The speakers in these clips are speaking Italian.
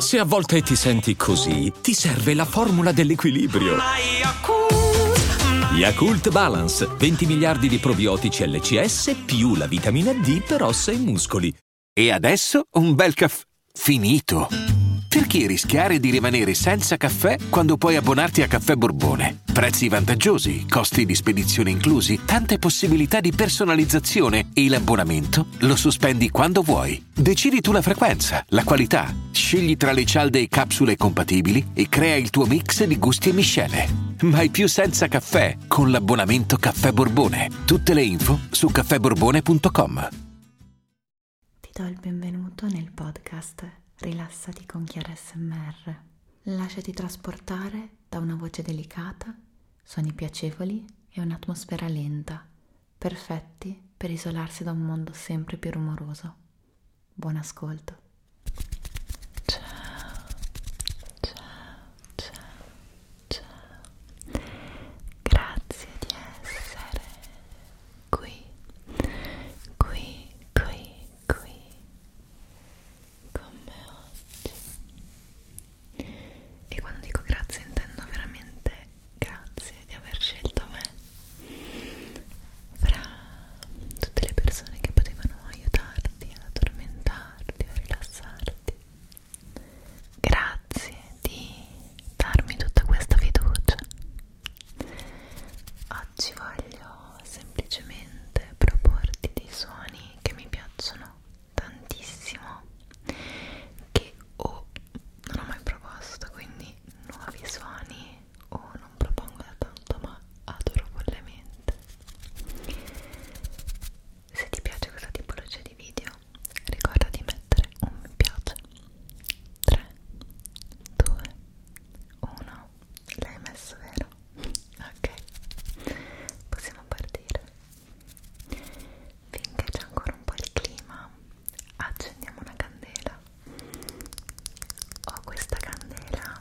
Se a volte ti senti così, ti serve la formula dell'equilibrio. Yakult Balance, 20 miliardi di probiotici LCS più la vitamina D per ossa e muscoli. E adesso un bel caffè finito. Perché rischiare di rimanere senza caffè quando puoi abbonarti a Caffè Borbone? Prezzi vantaggiosi, costi di spedizione inclusi mesi, tante possibilità di personalizzazione e l'abbonamento lo sospendi quando vuoi. Decidi tu la frequenza, la qualità, scegli tra le cialde e capsule compatibili e crea il tuo mix di gusti e miscele. Mai più senza caffè con l'abbonamento Caffè Borbone. Tutte le info su caffèborbone.com. Ti do il benvenuto nel podcast Rilassati con Chiara SMR. Lasciati trasportare da una voce delicata suoni piacevoli e un'atmosfera lenta, perfetti per isolarsi da un mondo sempre più rumoroso. Buon ascolto. Ciao, ciao, ciao, ciao. Grazie di essere qui, qui, qui, qui con me oggi e quando dico grazie intendo veramente grazie di aver scelto me fra tutte le persone che potevano aiutarti ad addormentarti o rilassarti grazie di darmi tutta questa fiducia oggi voglio semplicemente proporti dei suoni che mi piacciono piacciono tantissimo che o non ho mai proposto quindi nuovi suoni o non propongo da tanto ma adoro follemente se ti piace questa tipologia di video ricorda di mettere un mi piace 3 2 1 L'hai messo vero? Ok, possiamo partire. Finché c'è ancora un po' il clima, accendiamo una candela. Ho questa candela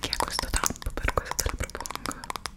che ha questo tappo, per questo te la propongo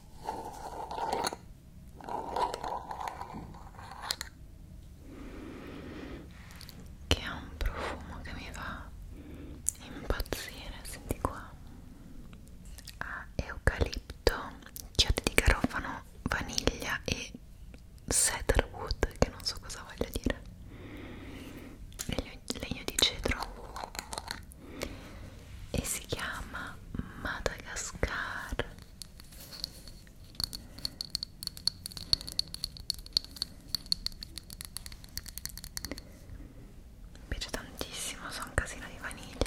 che ha un profumo che mi fa impazzire, senti qua ha ah, eucalipto, chiodi di garofano, vaniglia e cedarwood che non so cosa voglia dire e gli legno, legno di cedro e si chiama Madagascar mi piace tantissimo, so un casino di vaniglia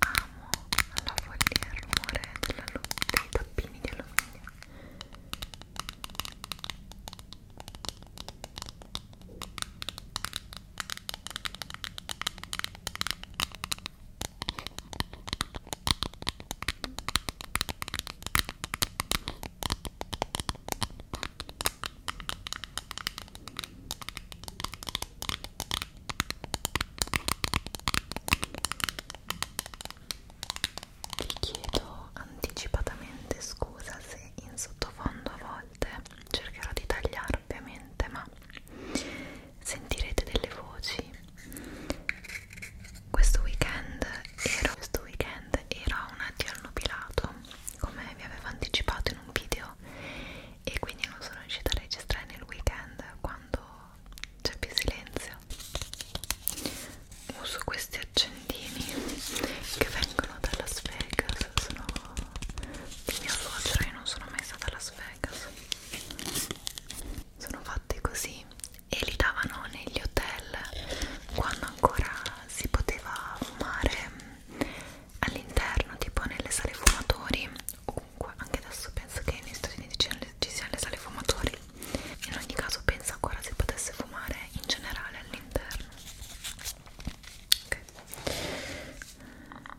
amo la follia e il rumore della dei tappini di alluminio Ecco vi chiedo anticipatamente scusa se in sottofondo a volte cercherò di tagliare ovviamente, ma sentirete delle voci. Questo weekend ero, questo weekend ero a un addio al nubilato, come vi avevo anticipato in un video, e quindi non sono riuscita a registrare nel weekend quando c'è più silenzio uso questi accendini che vengono da Las Vegas sono di mia suocera io non sono mai stata a Las Vegas sono fatti così e li davano negli hotel quando ancora si poteva fumare all'interno tipo nelle sale fumatori Comunque, anche adesso penso che negli Stati Uniti ci siano le sale fumatori. In ogni caso, penso ancora si potesse fumare in generale all'interno. Ok. Ok,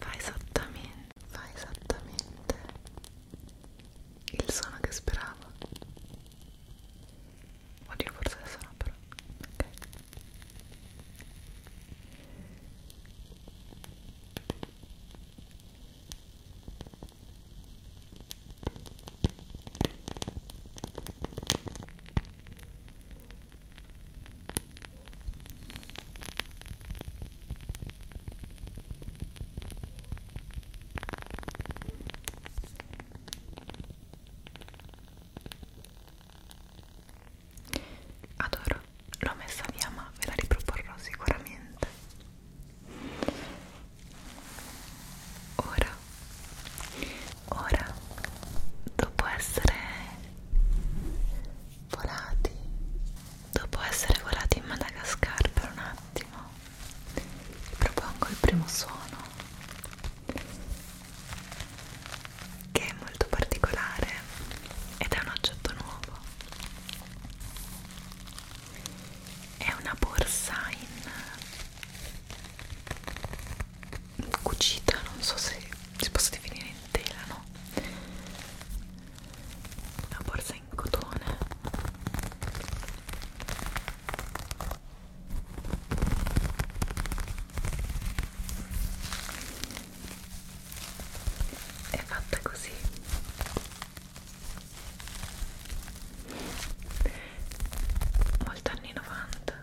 Fa esattamente fa esattamente il suono che speravo oddio forse adesso no però ok Adoro, l'ho messa via ma ve la riproporrò sicuramente. Ora, ora, dopo essere volati dopo essere volati in Madagascar per un attimo propongo il primo suono che è molto particolare ed è un oggetto nuovo è una borsa in cucita non so se si possa definire in tela no una borsa in cotone è fatta così molto anni 90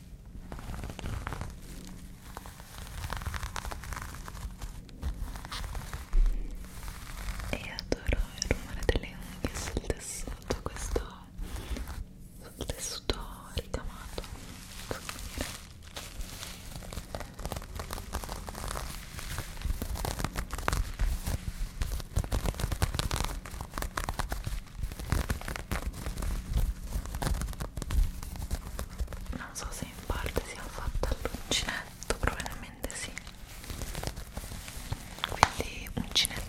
e adoro il rumore delle unghie sul tessuto questo sul tessuto ricamato non so se in parte sia fatta all'uncinetto probabilmente sì quindi uncinettato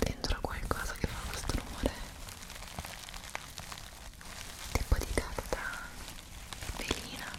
dentro qualcosa che fa questo rumore tipo di carta velina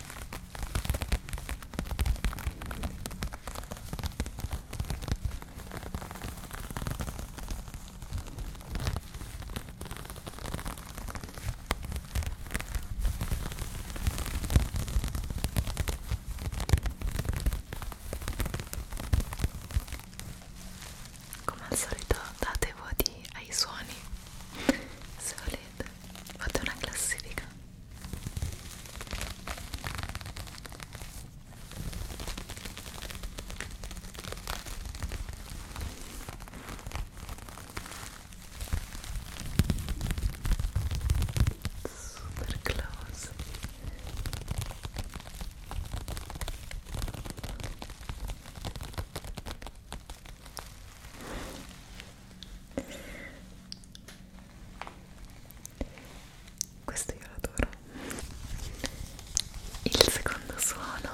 Come al solito date voti ai suoni se volete avete? Fate una classifica. Super close questo io lo adoro il secondo suono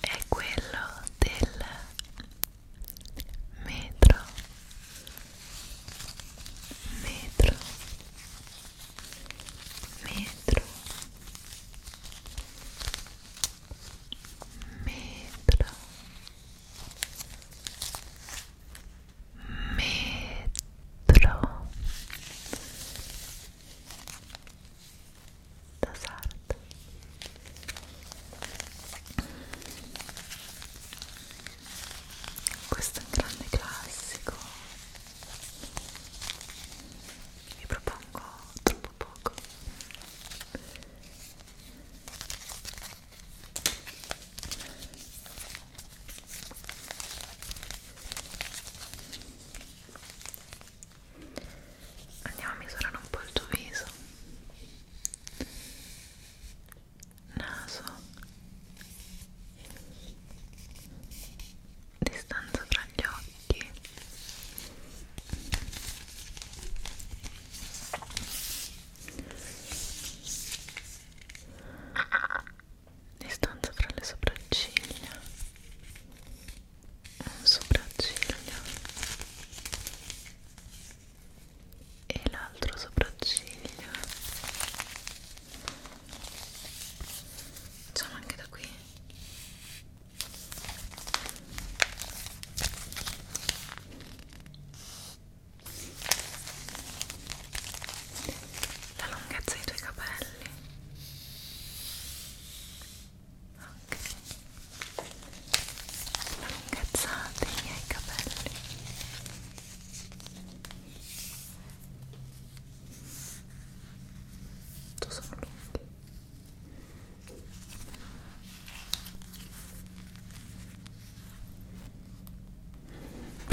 è quello del metro metro metro metro metro da sarta questo è un grande classico vi propongo troppo poco andiamo a misurare un po' il tuo viso naso distanza tra gli occhi distanza fra le sopracciglia un sopracciglio e l'altro sopracciglio facciamo anche da qui la lunghezza dei tuoi capelli non incazzate i miei capelli tu sono lunghi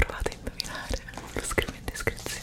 provate a indovinare, ve lo scrivo in descrizione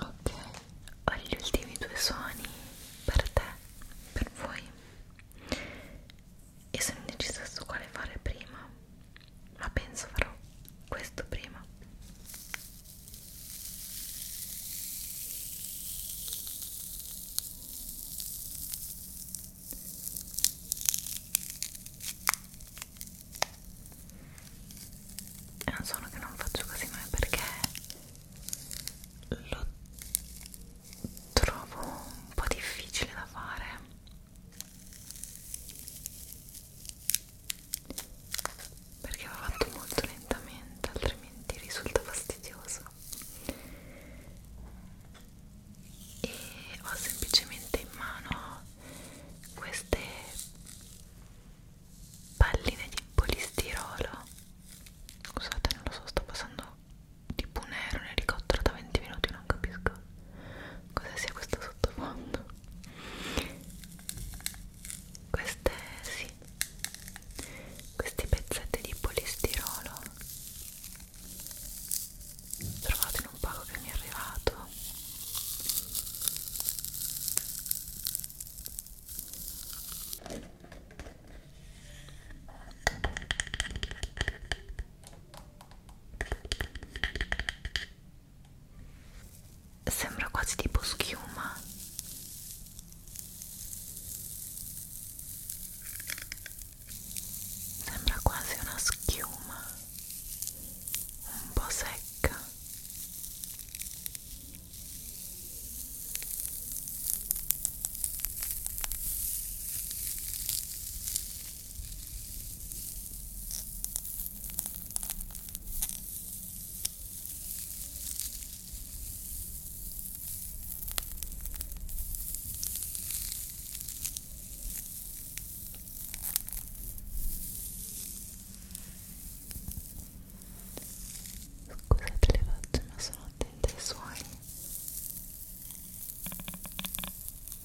Ok, ho gli ultimi due suoni per te, per voi e sono indecisa su quale fare prima ma penso farò questo prima è un suono che non faccio così mai perché lo trovo un po' difficile da fare perché va fatto molto lentamente altrimenti risulta fastidioso e ho semplicemente in mano queste palline di polistirolo scusate non lo so sto passando tipo un aereo un elicottero da 20 minuti non capisco cosa sia questo sottofondo queste sì questi pezzetti di polistirolo trovate in un pacco che mi è arrivato sembra quasi tipo schiuma sembra quasi una schiuma un po' secca Scusate le facce ma sono attenta ai suoni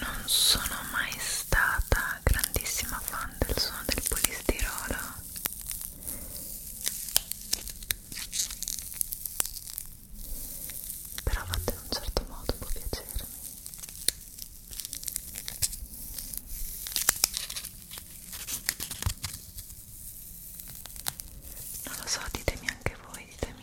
non sono mai stata grandissima fan del suono del polistirolo però a in un certo modo può piacermi non lo so, ditemi anche voi, ditemi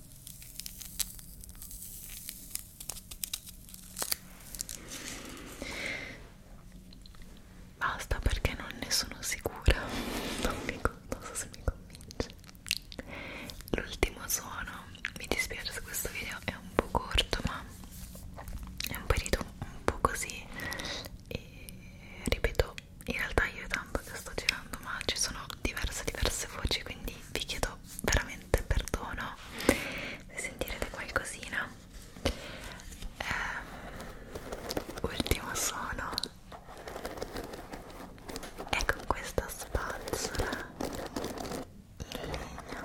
Basta perché non ne sono sicura, non, mi, non so se mi convince. L'ultimo suono, mi dispiace se questo video è un po' corto, ma è un periodo un po' così e ripeto in realtà io è tanto che sto girando ma ci sono diverse diverse voci quindi vi chiedo veramente perdono se sentirete qualcosina ehm, ultimo suono è con questa spazzola in legno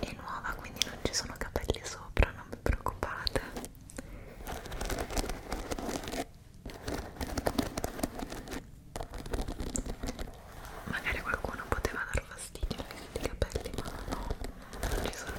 è nuova quindi non ci sono capelli sopra non vi preoccupate magari a qualcuno poteva dar fastidio i capelli ma no non ci sono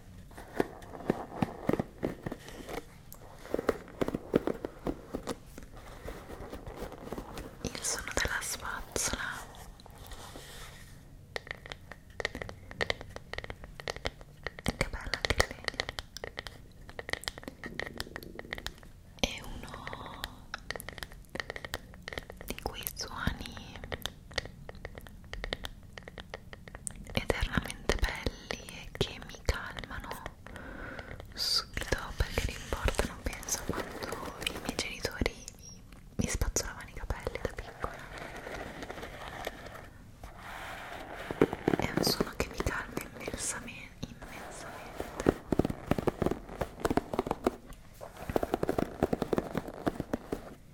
il suono della spazzola che bella che è uno di quei suoni eternamente belli e che mi calmano subito perché l'importo non penso quando i miei genitori mi spazzolavano i capelli da piccola è un suono che mi calma immensamente immensamente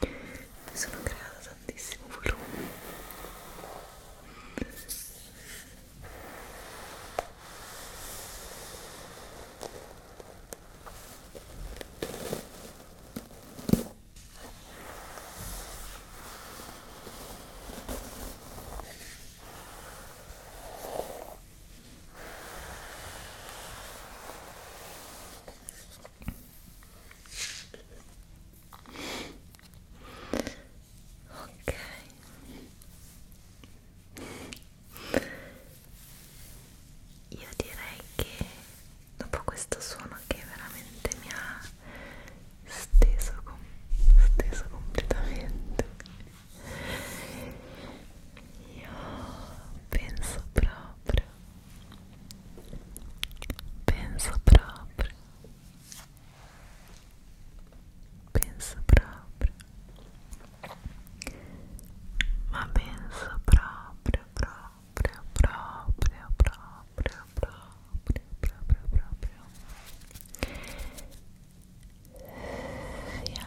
mi sono creata tantissimo volume ok io direi che dopo questo suono che veramente mi ha steso, com steso completamente io penso proprio Penso proprio. Penso proprio. Ma penso proprio, proprio, proprio, proprio, proprio, proprio, proprio. Sia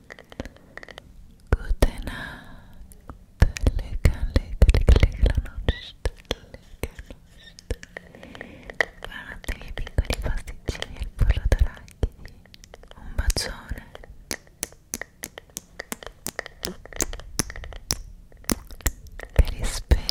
Gute Nacht, lega, lega, lega, lega la noce, lega noce Buonanotte miei piccoli pasticcini e il pollo d'arachidi Un bacione Che rispera